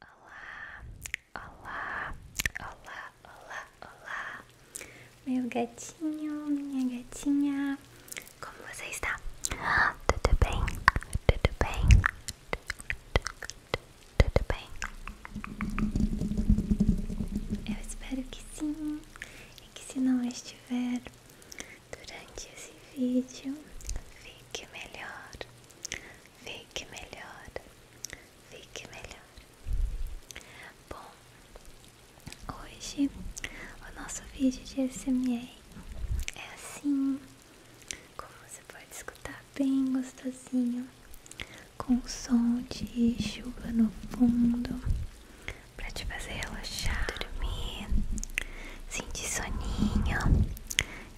Olá, olá, olá, olá, olá, meu gatinho, minha gatinha, como você está? Tudo bem? Tudo bem? Tudo bem? Eu espero que sim, e que se não estiver durante esse vídeo, fique melhor. Fique melhor, fique melhor. Bom, hoje o nosso vídeo de SMR é assim, como você pode escutar bem gostosinho, com um som de chuva no fundo, para te fazer relaxar, dormir, sentir soninho,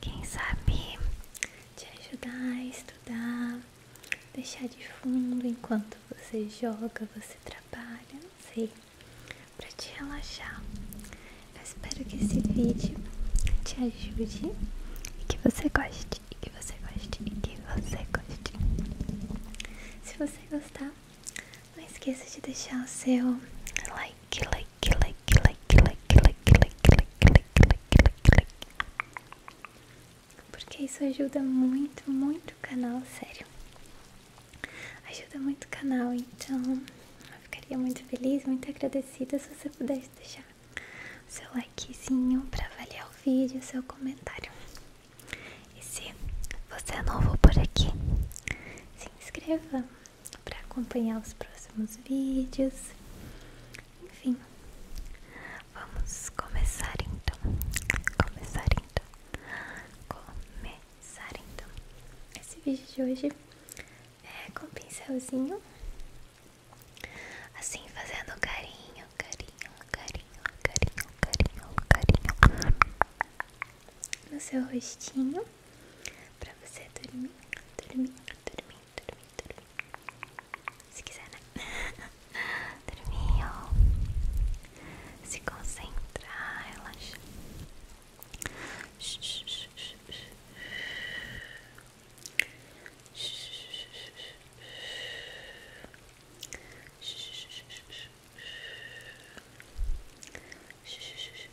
quem sabe te ajudar a estudar, deixar de fundo enquanto você joga, você trabalha, não sei, para te relaxar. Eu espero que esse vídeo te ajude e que você goste, e que você goste, e que você goste. Se você gostar, não esqueça de deixar o seu like, like porque isso ajuda muito, muito o canal, sério. Ajuda muito o canal, então eu ficaria muito feliz, muito agradecida se você pudesse deixar o seu likezinho pra avaliar o vídeo, seu comentário. E se você é novo por aqui, se inscreva para acompanhar os próximos vídeos. Enfim, vamos começar então. Começar então. Começar então. Esse vídeo de hoje é com pincelzinho. Assim, fazendo carinho, carinho, carinho, carinho, carinho, carinho no seu rostinho para você dormir, dormir, dormir, dormir, dormir. Se quiser, né? dormir, Se concentrar, relaxa. Relaxa, relaxa, relaxa, relaxa, relaxa, relaxa, relaxa, relaxa, relaxa, relaxa, relaxa, relaxa, relaxa,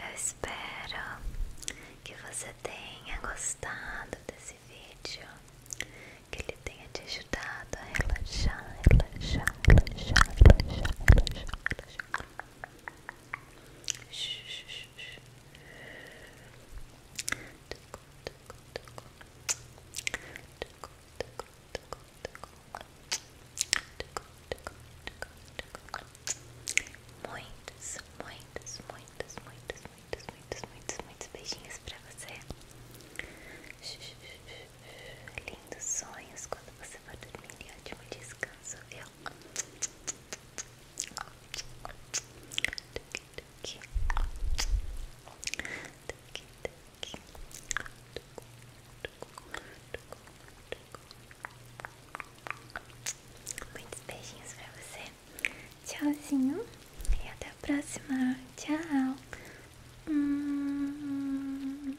Eu espero que você tenha gostado desse vídeo, que ele tenha te ajudado a relaxar, relaxar, relaxar, relaxar, relaxar, relaxar. Muitos, muitos, muitos, muitos, muitos, muitos, muitos, muitos beijinhos pra você. Lindos sonhos quando você for dormir e ótimo descanso, viu? Muitos beijinhos pra você. Tchauzinho. E até a próxima. Tchau. Hum.